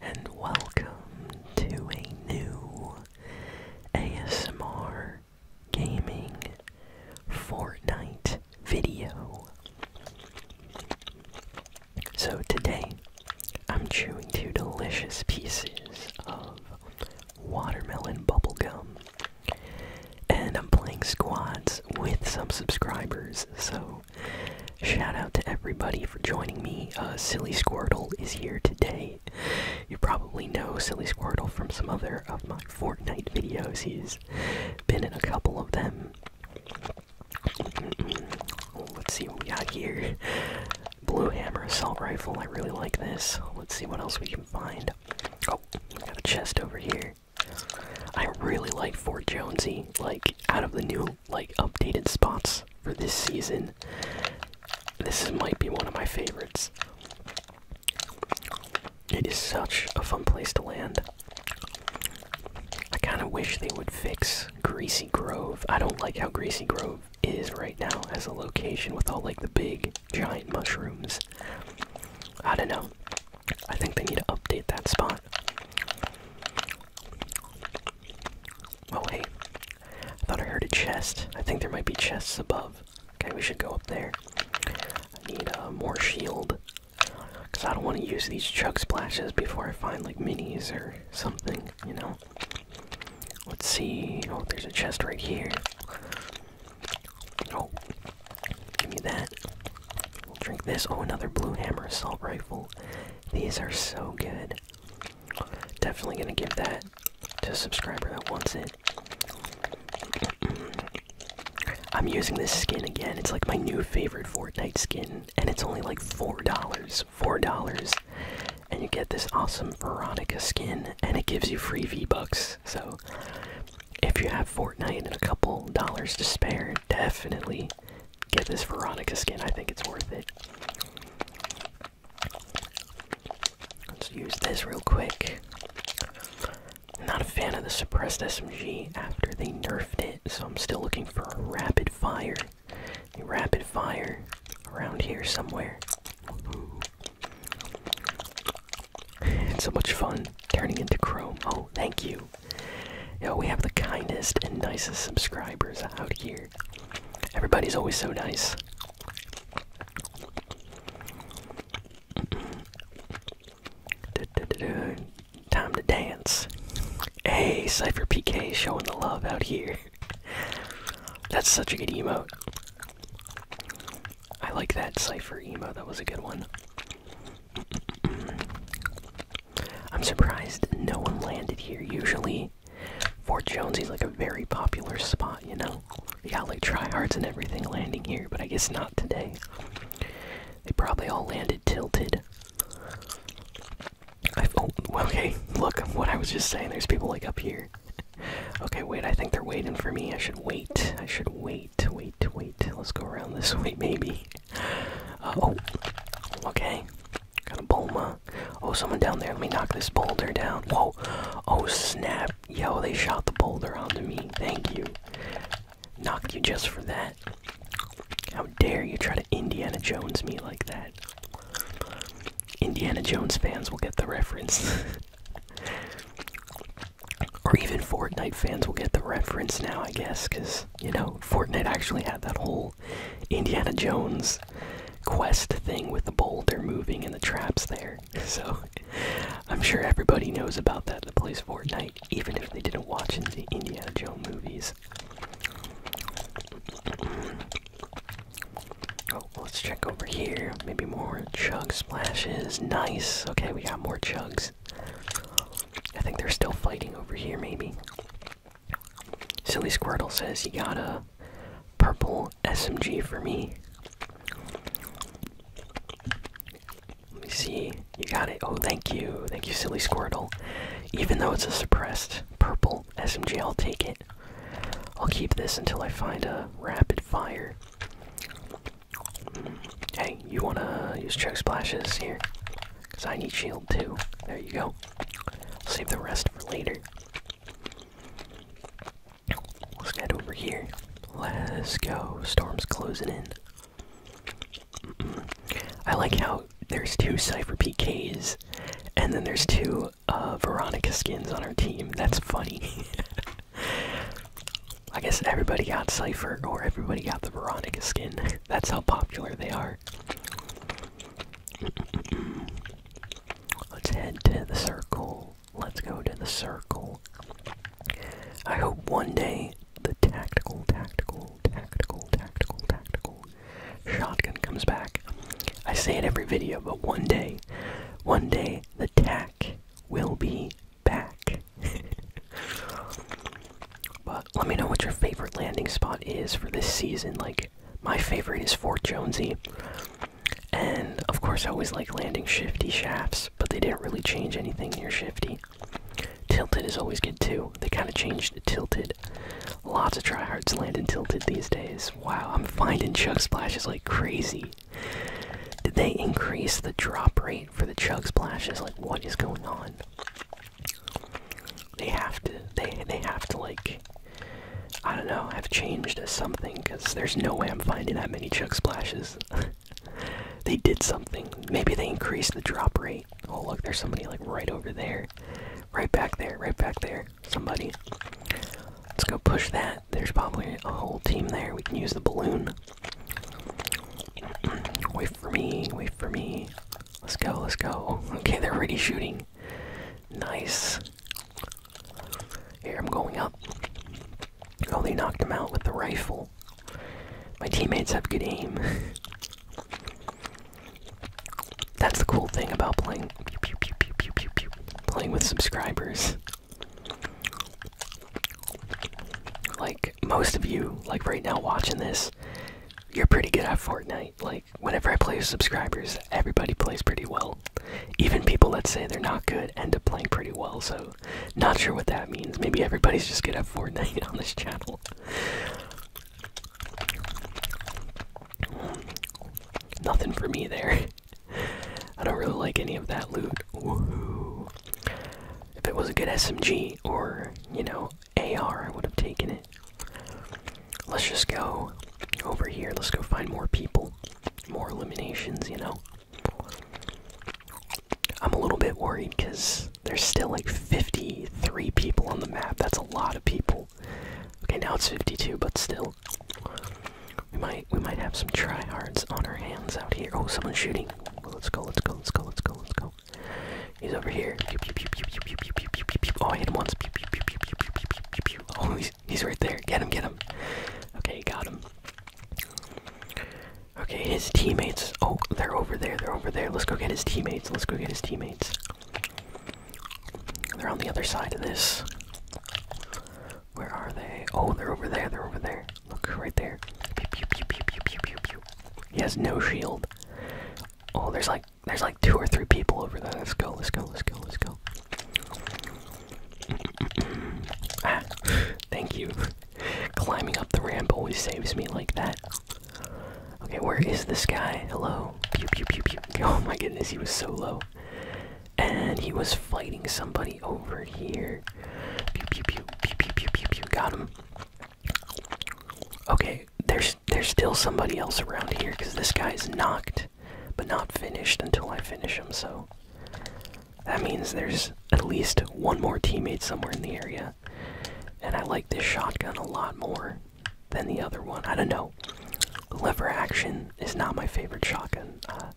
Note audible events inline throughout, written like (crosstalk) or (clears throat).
and welcome to a new ASMR gaming Fortnite video. So today I'm chewing two delicious pieces of watermelon bubble gum, And I'm playing squads with some subscribers, so Shout out to everybody for joining me. Uh, Silly Squirtle is here today. You probably know Silly Squirtle from some other of my Fortnite videos. He's been in a couple of them. Oh, let's see what we got here. Blue Hammer Assault Rifle. I really like this. Let's see what else we can find. Oh, we got a chest over here. I really like Fort Jonesy. Like, out of the new like updated spots for this season. This might be one of my favorites. It is such a fun place to land. I kind of wish they would fix Greasy Grove. I don't like how Greasy Grove is right now as a location with all like the big giant mushrooms. I don't know. I think they need to update that spot. Oh, hey. I thought I heard a chest. I think there might be chests above. Okay, we should go up there. I need uh, more shield. Because I don't want to use these chug splashes before I find, like, minis or something, you know? Let's see. Oh, there's a chest right here. Oh, give me that. drink this. Oh, another blue hammer assault rifle. These are so good. Definitely gonna give that to a subscriber that wants it. (clears throat) I'm using this skin again. It's like my new favorite Fortnite skin, and it's only like four dollars. Four dollars, and you get this awesome Veronica skin, and it gives you free V Bucks. So, if you have Fortnite and a couple dollars to spare, definitely get this Veronica skin. I think it's worth it. Let's use this real quick. Not a fan of the suppressed SMG after they nerfed it, so I'm still looking for a rapid fire. A rapid fire around here somewhere. it's so much fun turning into Chrome. Oh, thank you. Yo, we have the kindest and nicest subscribers out here. Everybody's always so nice. (clears throat) Time to dance. Hey, Cypher PK showing the love out here. (laughs) That's such a good emo. I like that Cypher emo. that was a good one. (clears throat) I'm surprised no one landed here. Usually, Fort Jones is like a very popular spot, you know? You got like tryhards and everything landing here, but I guess not today. They probably all landed tilted. Oh, okay, look what I was just saying. There's people like up here. okay, wait, I think they're waiting for me. I should wait. I should wait, wait, wait. Let's go around this way, maybe. Uh, oh, okay. Got a boulder. Oh, someone down there. Let me knock this boulder down. Whoa. Oh, snap. Yo, they shot the boulder onto me. Thank you. Knock you just for that. How dare you try to Indiana Jones me like that? Indiana Jones fans will get the reference. (laughs) or even Fortnite fans will get the reference now, I guess, because, you know, Fortnite actually had that whole Indiana Jones quest thing with the boulder moving and the traps there. (laughs) So I'm sure everybody knows about that that plays Fortnite, even if they didn't watch the Indiana Jones movies. Oh, let's check over here. Maybe more chug splashes. Nice. Okay, we got more chugs. I think they're still fighting over here, maybe. Silly Squirtle says you got a purple SMG for me. Let me see. You got it. Oh, thank you. Thank you, Silly Squirtle. Even though it's a suppressed purple SMG, I'll take it. I'll keep this until I find a rapid fire. Mm. Hey, you wanna use check splashes here? Because I need shield too. There you go. save the rest for later. Let's get over here. Let's go. Storm's closing in. I like how there's two Cypher PKs, and then there's two uh, Veronica skins on our team. That's funny. (laughs) I guess everybody got Cypher, or everybody got the Veronica skin. (laughs) that's how popular they are. Let's head to the circle. Let's go to the circle. I hope one day the tactical, tactical, tactical, tactical, tactical shotgun comes back. I say it every video, but one day, one day the tac will be back. (laughs) But let me know what your favorite landing spot is for this season. Like, my favorite is Fort Jonesy. And of course, I always like landing Shifty shafts, but they didn't really change anything near Shifty. Tilted is always good too. They kind of changed Tilted. Lots of tryhards land in Tilted these days. Wow, I'm finding Chug Splashes like crazy. Did they increase the drop rate for the Chug Splashes? Like, what is going on? They have to. They they have to like. I don't know. Have changed something because there's no way I'm finding that many chug splashes. (laughs) they did something. Maybe they increased the drop rate. Oh look, there's somebody like right over there, right back there, right back there. Somebody. Let's go push that. There's probably a whole team there. We can use the balloon. Wait for me, wait for me. Let's go, let's go. Okay, they're already shooting. Nice. Here, I'm going up. Oh, they knocked him out with the rifle. My teammates have good aim. (laughs) That's the cool thing about playing playing with subscribers. Like most of you, like right now watching this, you're pretty good at Fortnite. Like whenever I play with subscribers, everybody plays pretty well. Even people that say they're not good end up playing pretty well. So, not sure what that means. Maybe everybody's just good at Fortnite (laughs) on this channel. Nothing for me there. (laughs) I don't really like any of that loot. If it was a good SMG or, you know, AR, I would have taken it. Let's just go over here. Let's go find more people. More eliminations, you know. I'm a little bit worried because there's still like 53 people on the map. That's a lot of people. Okay, now it's 52, but still. We might we might have some tryhards on our hands out here. Oh, someone's shooting. let's go, let's go, let's go, let's go, let's go. He's over here. Oh, hit him once. Oh, he's, he's right there. Get him, get him. Okay, got him. Okay, his teammates. Oh, they're over there. They're over there. Let's go get his teammates. Let's go get his teammates. They're on the other side of this. Where are they? Oh, they're over there. They're over there there. Look right there. Pew, pew, pew, pew, pew, pew, pew, pew. He has no shield. Oh, there's like there's like two or three people over there. Let's go. Let's go. Let's go. Let's go. ah, thank you. Climbing up the ramp always saves me like that. Okay, where is this guy? Hello. Pew pew pew pew. Oh my goodness, he was so low. And he was fighting somebody over here. Pew pew pew pew pew pew pew pew. Got him. Okay, there's there's still somebody else around here because this guy's knocked, but not finished until I finish him. So that means there's at least one more teammate somewhere in the area, and I like this shotgun a lot more than the other one. I don't know. Lever action is not my favorite shotgun. Uh,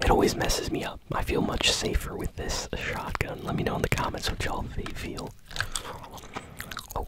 it always messes me up. I feel much safer with this shotgun. Let me know in the comments what y'all feel. Oh,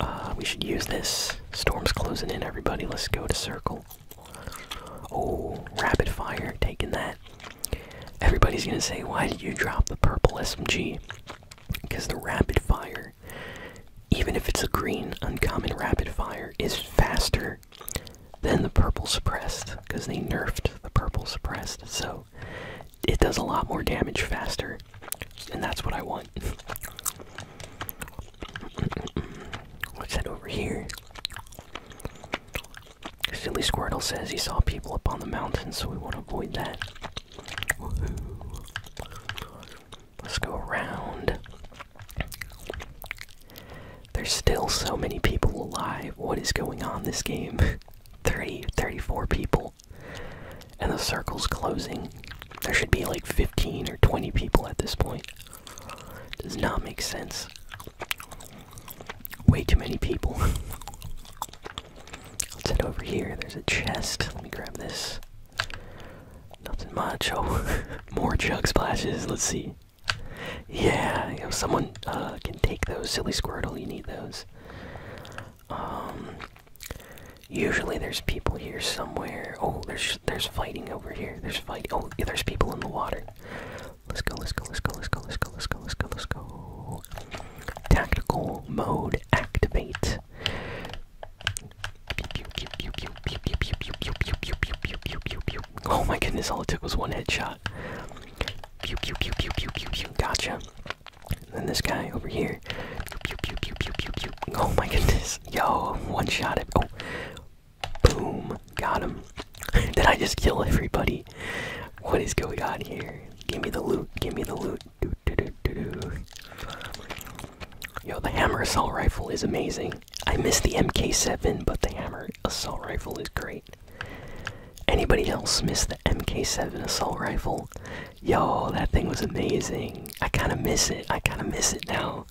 uh, we should use this. Storm's closing in, everybody. Let's go to circle. Oh, rapid fire, taking that. Everybody's gonna say, why did you drop the purple SMG? Because the rapid fire, even if it's a green uncommon rapid fire, is faster then the purple suppressed because they nerfed the purple suppressed. So it does a lot more damage faster, and that's what I want. (laughs) What's that over here? Silly Squirtle says he saw people up on the mountain, so we want to avoid that. Let's go around. There's still so many people alive. What is going on this game? (laughs) 30, 34 people. And the circle's closing. There should be like 15 or 20 people at this point. Does not make sense. Way too many people. (laughs) Let's head over here. There's a chest. Let me grab this. Nothing much. Oh, (laughs) more jug splashes. Let's see. Yeah, you someone can take those. Silly Squirtle, you need those. usually there's people here somewhere. Oh, there's there's fighting over here. There's fight. Oh, there's people in the water. Let's go. Let's go. Let's go. Let's go. Let's go. Let's go. Let's go. Let's go. Tactical mode activate. Oh my goodness! All it took was one headshot. Gotcha. then this guy over here. Oh my goodness. Yo, one shot it. Oh. Boom. Got him. (laughs) Did I just kill everybody? What is going on here? Give me the loot. Give me the loot. Yo, the hammer assault rifle is amazing. I miss the MK7, but the hammer assault rifle is great. Anybody else miss the MK7 assault rifle? Yo, that thing was amazing. I kind of miss it. I kind of miss it now.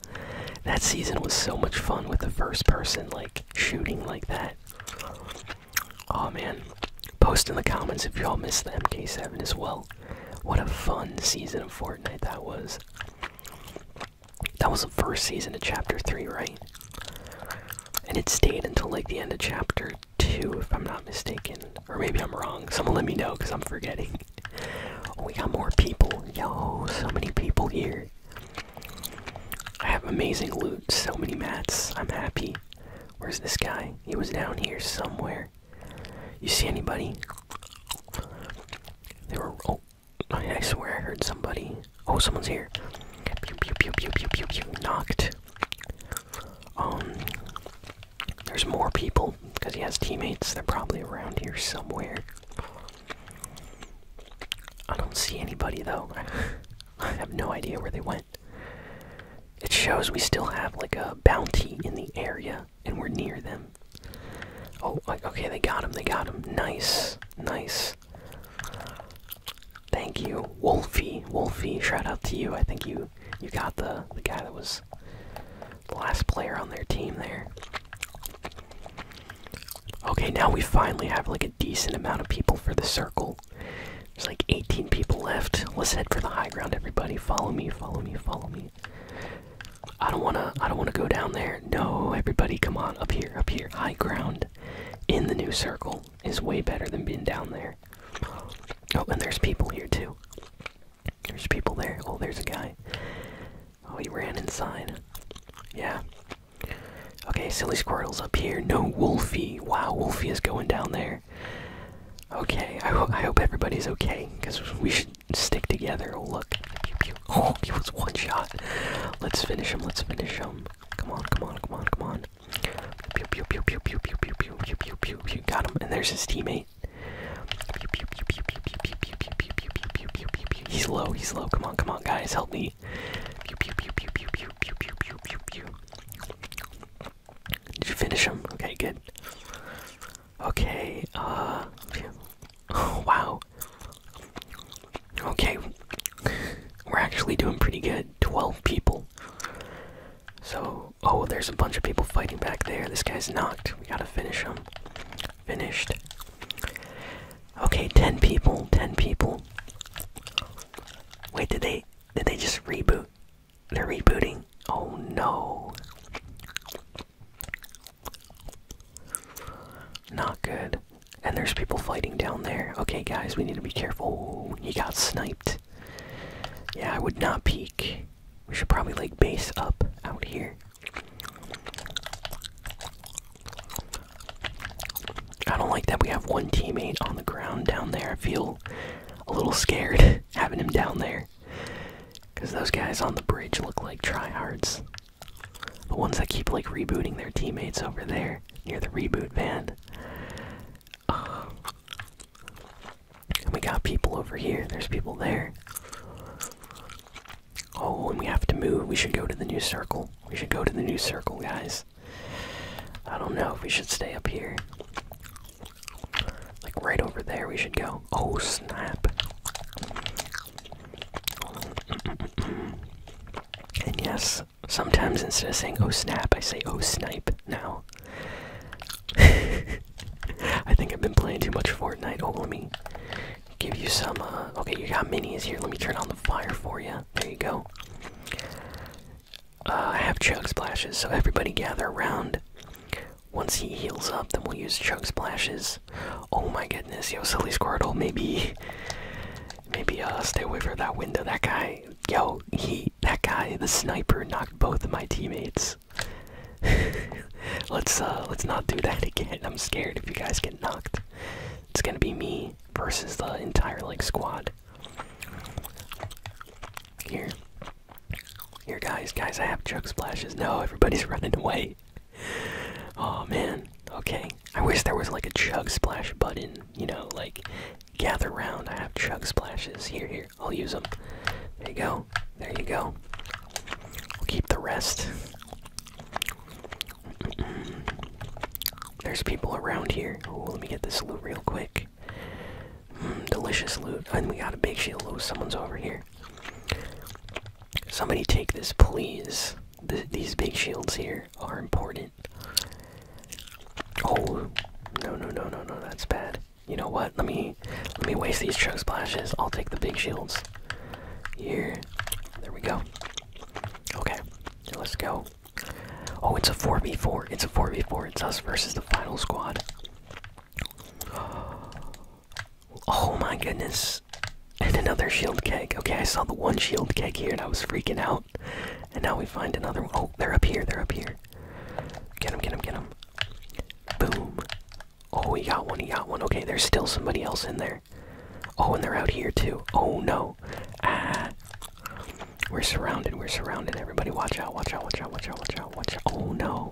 That season was so much fun with the first person like shooting like that. Oh man. Post in the comments if y'all miss the MK7 as well. What a fun season of Fortnite that was. That was the first season of Chapter 3, right? And it stayed until like the end of Chapter 2, if I'm not mistaken. Or maybe I'm wrong. Someone let me know because I'm forgetting. Oh, we got more people. Yo, so many people here. I have amazing loot, so many mats. I'm happy. Where's this guy? He was down here somewhere. You see anybody? There were. Oh, I, I swear I heard somebody. Oh, someone's here. Pew pew pew pew pew pew pew. Knocked. Um. There's more people because he has teammates. They're probably around here somewhere. I don't see anybody though. (laughs) I have no idea where they went. It shows we still have like a bounty in the area and we're near them. Oh, like okay, they got him. They got him. Nice. Nice. Thank you, Wolfie. Wolfie, shout out to you. I think you you got the the guy that was the last player on their team there. Okay, now we finally have like a decent amount of people for the circle. There's like 18 people left. Let's head for the high ground, everybody. Follow me, follow me, follow me. I don't wanna I don't wanna go down there. No, everybody, come on up here, up here. High ground in the new circle is way better than being down there. Oh, and there's people here too. There's people there. Oh, there's a guy. Oh, he ran inside. Yeah. Okay, silly squirtles up here. No Wolfie. Wow, Wolfie is going down there. Okay, I, hope everybody's okay, because we should stick together. Oh, look. Oh, he was one shot. Let's finish him. Let's finish him. Come on, come on, come on, come on. Pew pew pew pew pew pew pew pew pew pew pew Got him. And there's his teammate. Pew pew pew pew pew pew pew pew pew pew pew pew pew He's low. He's low. Come on, come on, guys, help me. pew pew pew pew pew pew pew pew pew pew. Did you finish him? Okay, good. Okay. Uh. (sighs) wow. Okay. We're actually doing pretty good. 12 people. So, oh, there's a bunch of people fighting back there. This guy's knocked. We gotta finish him. Finished. Okay, 10 people. 10 people. Wait, did they did they just reboot? They're rebooting. Oh no. Not good. And there's people fighting down there. Okay, guys, we need to be careful. He got sniped. Yeah, I would not peek. We should probably like base up out here. I don't like that we have one teammate on the ground down there. I feel a little scared (laughs) having him down there. Because those guys on the bridge look like tryhards. The ones that keep like rebooting their teammates over there near the reboot van. Uh, and we got people over here. There's people there. Oh, and we have to move. We should go to the new circle. We should go to the new circle, guys. I don't know if we should stay up here. Like right over there, we should go. Oh, snap and yes, sometimes instead of saying oh snap, I say oh snipe now. (laughs) I think I've been playing too much Fortnite. Oh, let me give you some. Uh, okay, you got minis here. Let me turn on the fire for you. There you go. Uh, I have chug splashes, so everybody gather around. Once he heals up, then we'll use chug splashes Oh my goodness, yo, silly Squirtle. Maybe, maybe uh, stay away from that window. That guy, yo, he, that guy, the sniper knocked both of my teammates. (laughs) let's uh, let's not do that again. I'm scared if you guys get knocked. It's gonna be me versus the entire like squad. Here. Here, guys, guys, I have chug splashes. No, everybody's (laughs) running away oh man. Okay. I wish there was like a chug splash button. You know, like gather round. I have chug splashes here. Here, I'll use them. There you go. There you go. keep the rest. There's people around here. let me get this loot real quick. Mm, delicious loot. And we got a big shield. Oh, someone's over here. Somebody take this, please. these big shields here are important. Oh, no, no, no, no, no, that's bad. You know what? Let me let me waste these chug splashes. I'll take the big shields. Here, there we go. Okay, let's go. Oh, it's a 4v4. It's a 4v4. It's us versus the final squad. Oh my goodness. And another shield keg. Okay, I saw the one shield keg here and I was freaking out. And now we find another Oh, they're up here. They're up here. Get him, get him, get him. Boom. Oh, we got one. We got one. Okay, there's still somebody else in there. Oh, and they're out here too. Oh no. Ah. We're surrounded. We're surrounded. Everybody, watch out. Watch out. Watch out. Watch out. Watch out. Watch out. Oh no.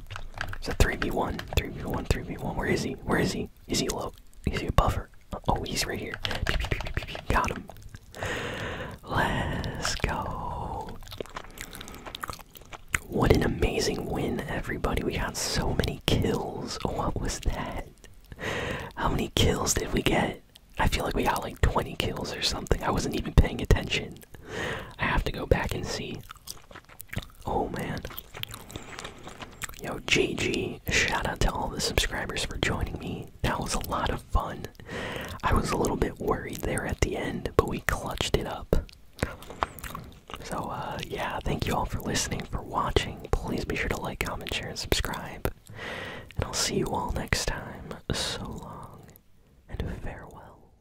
It's a 3v1, 3v1, 3v1. Where is he? Where is he? Is he low? Is he a buffer? Oh, he's right here. Got him. Let's go. What an amazing win, everybody. We got so many kills. What was that? How many kills did we get? I feel like we got like 20 kills or something. I wasn't even paying attention. I have to go back and see. Oh man. Yo, GG. Shout out to all the subscribers for joining me. That was a lot of fun. I was a little bit worried there at the end, but we clutched it up. So, uh, yeah, thank you all for listening, for watching. Please be sure to like, comment, share, and subscribe. And I'll see you all next time. So long, and farewell.